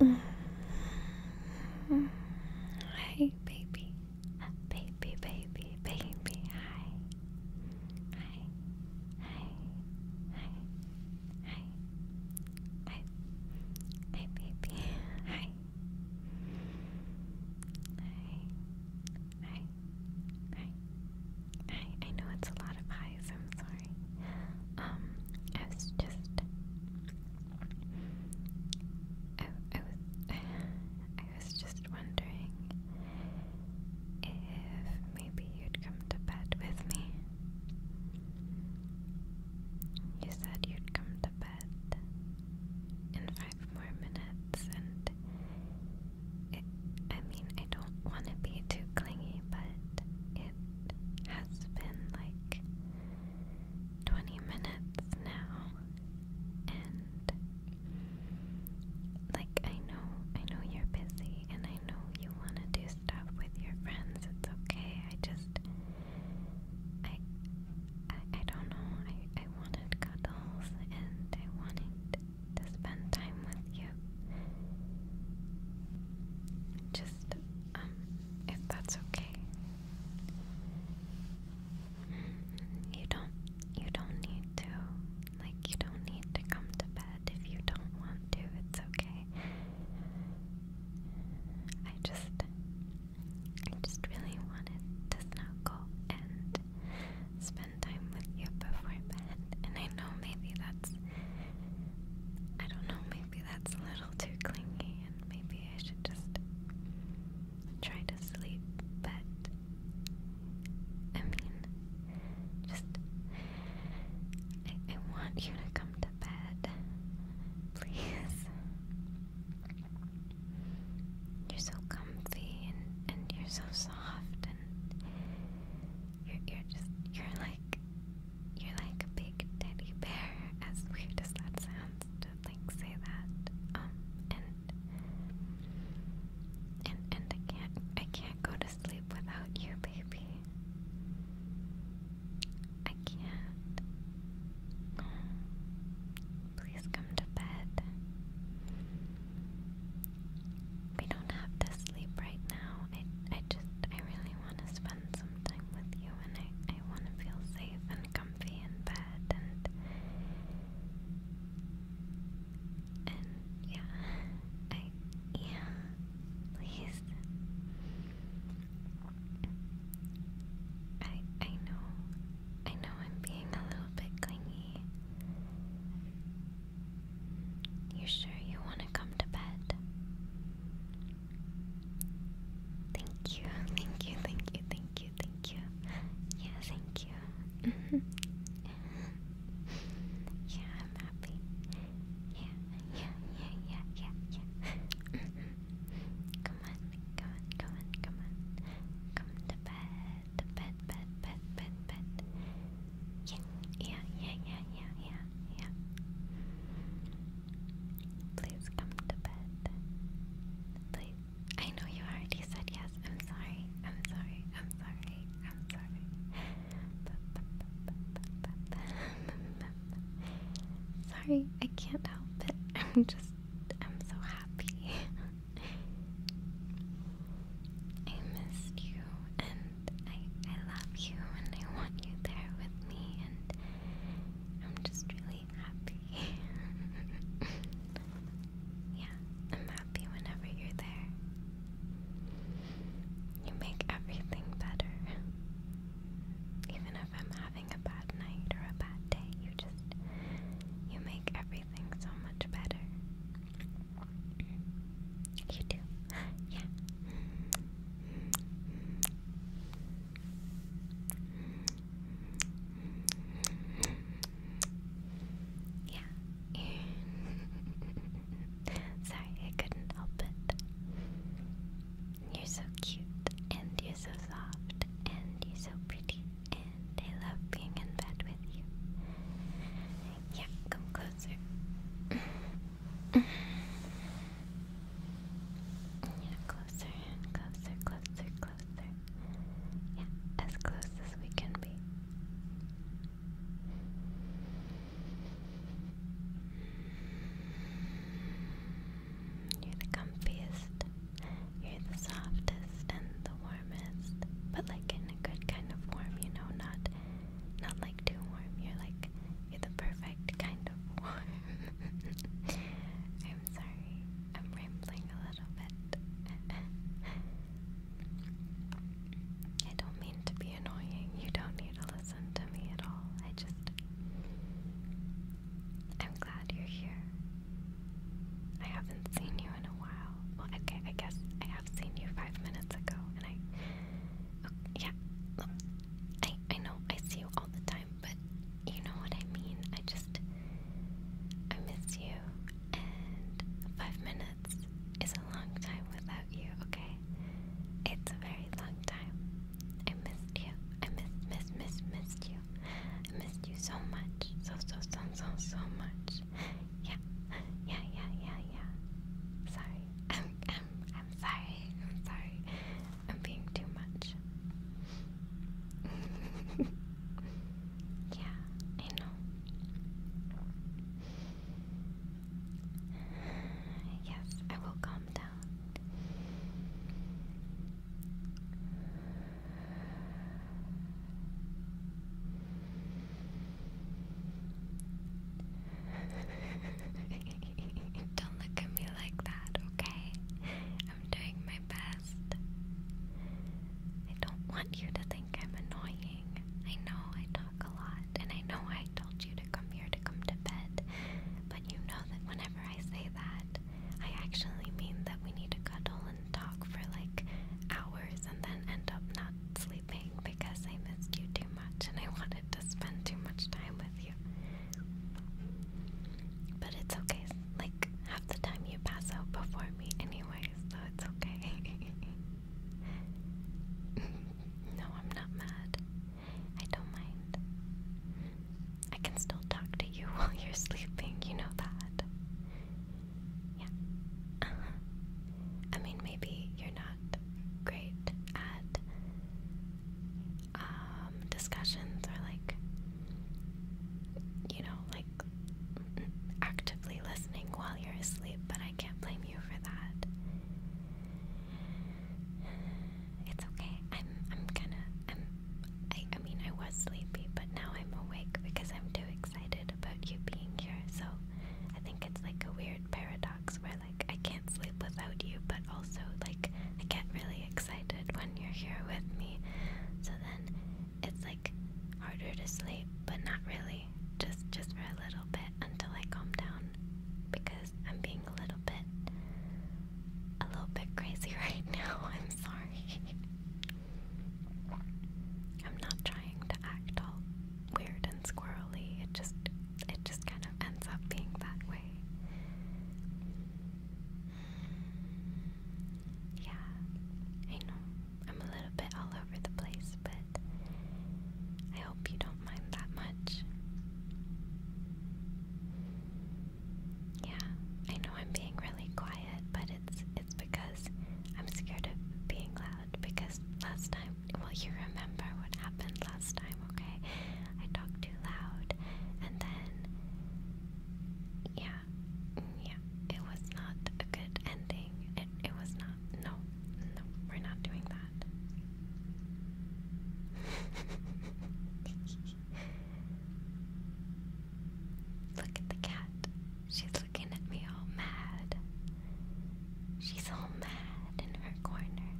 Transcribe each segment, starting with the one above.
Hi, baby. Baby, baby, baby. Hi. Hi. Hi. Hi. Hi. Hi. Hi, baby. Hi. Hi. Hi. Hi. I I know it's a lot of highs. I'm sorry. Um, I was just I I was I was just wondering if maybe you'd come to bed with me. You said you'd come to bed in five more minutes, and it, I mean, I don't want to be too clingy, but it has been like 20 minutes now, and like I know, I know you're busy, and I know you want to do stuff with your friends. It's okay. I just, I, I, don't know. I, I wanted cuddles, and I wanted to spend time with you, just, um, if that's okay. You don't, you don't need to, like, you don't need to come to bed if you don't want to, it's okay. I just, I just really wanted to snuggle and spend time with you before bed, and I know maybe that's I don't know, maybe that's a little too clingy, and maybe I should just try to sleep, but I mean, just I, want you to come to bed, please. You're so comfy and, and you're so soft, and you're, just, you're like, you're like a big teddy bear, as weird as that sounds to like say that. Um, and, and, and I can't, I can't go to sleep without you, baby. I can't. please come to bed. We don't have to sleep right now. I I just I really want to spend some time with you and I, I want to feel safe and comfy in bed and and yeah. I yeah. Please. I I know. I know I'm being a little bit clingy. You sure you want to come to bed? Thank you, thank you, thank you, thank you, thank you. Yeah, thank you. Mm-hmm. yeah, I'm happy. Yeah, yeah, yeah, yeah, yeah, come on, come on, come on, come on. Come to bed, bed, bed, bed, bed, bed. Yeah, yeah, yeah, yeah, yeah, yeah, Please come to bed. Please. I know you already said yes. I'm sorry. I'm sorry. I'm sorry. I'm sorry. sorry, I can't help it. I'm just. I'm so happy. I missed you I, I love you and I want you there with me and I'm just really happy. yeah, I'm happy whenever you're there. You make everything better. Even if I'm having a bad night or a bad day, you just you make everything so much better. You do? Yeah. Yeah. Sorry, I couldn't help it. You're so cute, and you're so soft, and you're so pretty, and I love being in bed with you. Yeah, come closer. Yeah, closer closer, closer, closer. Yeah, as close as we can be. You're the comfiest, you're the softest and the warmest, but like in a good kind of warm, you know, not not like too warm. You're like you're the perfect kind of warm. I'm sorry. I'm rambling a little bit. I don't mean to be annoying. You don't need to listen to me at all. I just I'm glad you're here. I haven't seen you in a while. Well, okay, I guess I have seen you five minutes ago, and I Okay, yeah, I I know I see you all the time, but you know what I mean. I just I miss you, and five minutes is a long time without you. Okay, it's a very long time. I missed you. I miss miss miss missed you. I missed you so much, so so so so so much. Yeah, yeah, yeah, yeah, yeah. Sorry. I'm, I'm, I'm sorry. I'm sorry. I'm being too much. yeah, I know. Yes, I will calm down. Don't look at me like that, okay? I'm doing my best. I don't want you to think I'm annoying. I know I talk a lot, and I know I told you to come here to come to bed, but you know that whenever I say that, I actually mean that we need to cuddle and talk for like hours and then end up not sleeping because I missed you too much and I wanted to spend too much time with you. But it's okay. Like, half the time you pass out before me anyway, so it's okay. no, I'm not mad. I don't mind. I can still talk to you while you're sleeping, you know that. Yeah. Uh-huh. I mean, maybe you're not great at um, discussions or like you know like actively listening while you're asleep, but I can't blame you for that. It's okay. I'm I'm kind of I'm I mean I was sleepy, but now I'm awake because I'm too excited about you being here. So I think it's like a weird paradox where like I can't sleep without you, but also like I get really excited when you're here with me. So then it's like harder to sleep, but not really. Just just for a little bit until I calm down because I'm being a little bit a little bit crazy right now. I'm sorry. I'm not trying to act all weird and squirrely. It just it just kind of ends up being that way. Yeah, I know. I'm a little bit all over the place, but I hope you don't mind that much. Yeah, I know I'm being really quiet, but it's it's because I'm scared of being loud because last time, well, you remember what happened last time, okay? I talked too loud, and then, yeah, yeah, it was not a good ending. It, it was not, no, no, we're not doing that. Look at the cat. She's looking at me all mad. She's all mad in her corner.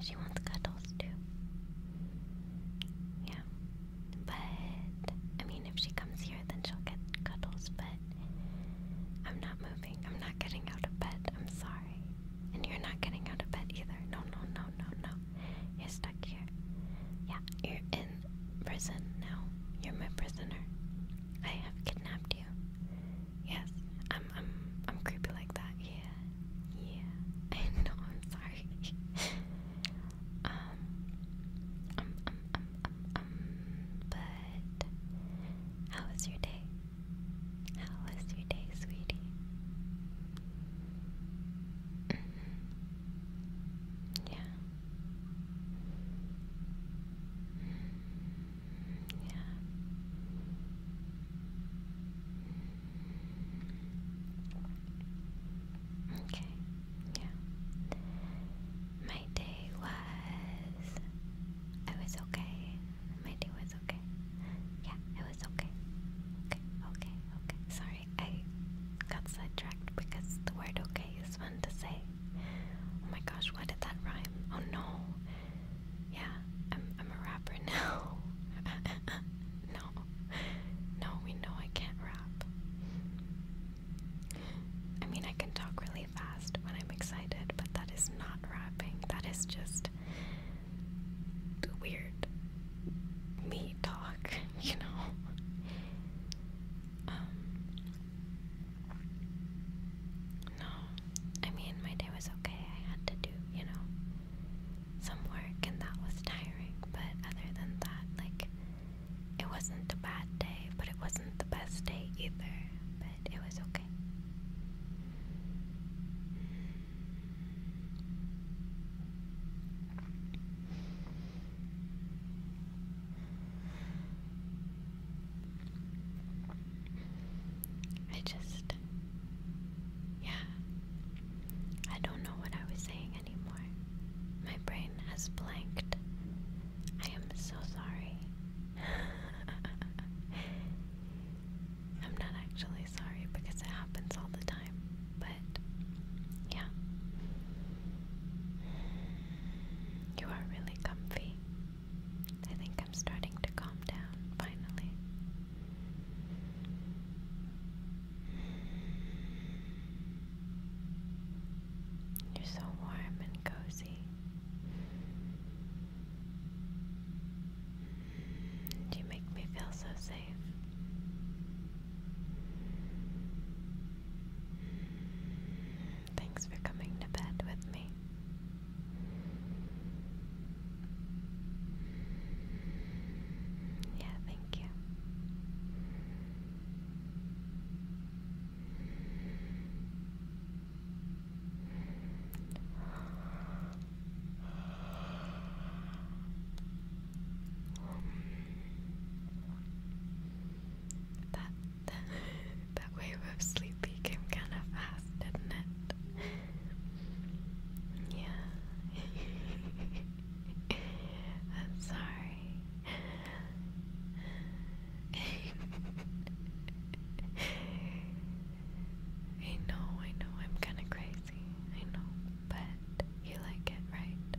She wants cuddles too. Yeah. But, I mean, if she comes here, then she'll get cuddles, but I'm not moving. I'm not getting out of bed. I'm sorry. And you're not getting out of bed either. No, no, no, no, no. You're stuck here. Yeah, you're in prison now. You're my prisoner. I have kidnapped you. Yes, I'm I'm I'm creepy like that. Yeah. Yeah. I know, I'm sorry. um, um um um um um but how was your day? How was your day, sweetie? Mm-hmm. Yeah. Yeah. Okay, yeah. My day was. I was okay. My day was okay. Yeah, it was okay. Okay, okay, okay. Sorry, I got sidetracked because the word okay is to say. Oh my gosh, why did that rhyme? Oh no. Yeah, I'm a rapper now. no. No, we know I can't rap. I mean I can talk really fast when I'm excited, but that is not rapping. That is just weird me talk, you know. Um, no, I mean, my day was okay. I had to do, you know, some work, and that was tiring. But other than that, like, it wasn't a bad day, but it wasn't the best day either. But it was okay. I just, yeah, I don't know what I was saying anymore. My brain has blanked. I am so sorry. I'm not actually sorry because it happens all the time, but yeah. You are really comfy. I think I'm starting to calm down finally. You're so warm and cozy. You make me feel so safe. Thanks for coming to bed with me. Yeah, thank you that that wave of sleepy came kind of fast, didn't it? Yeah. I'm sorry. I know, I know, I'm kind of crazy. I know, but you like it, right?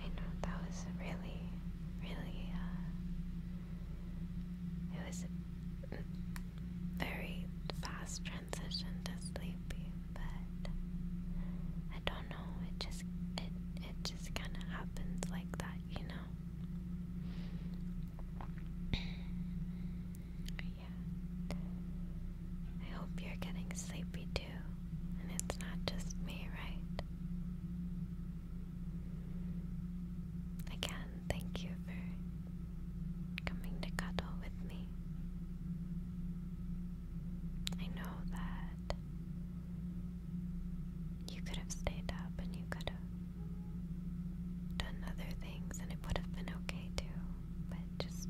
I know that was really, really, uh, it was very fast transition to sleepy, but I don't know. It just it it just kind of happens like that, you know. yeah. I hope you're getting sleepy too, and it's not just me, right? Again, Thank you for coming to cuddle with me. I know that you could have stayed up and you could have done other things and it would have been okay too, but just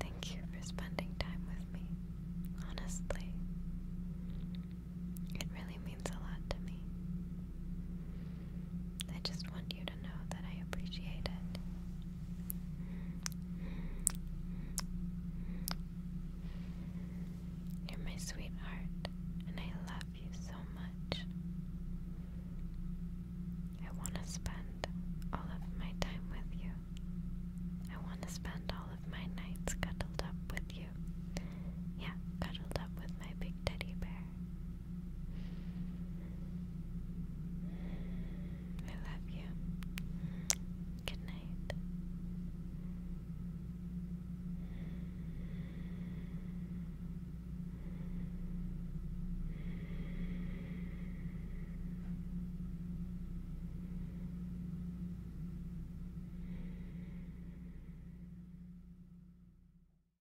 thank you for spending time with me. Honestly, it really means a lot to me. I just want you know that I appreciate it. You're my sweetheart, and I love you so much. I want to spend all of my time with you. I want to spend all of my nights cuddled up with you. Yeah, cuddled up with my big teddy bear. I love you. Good night.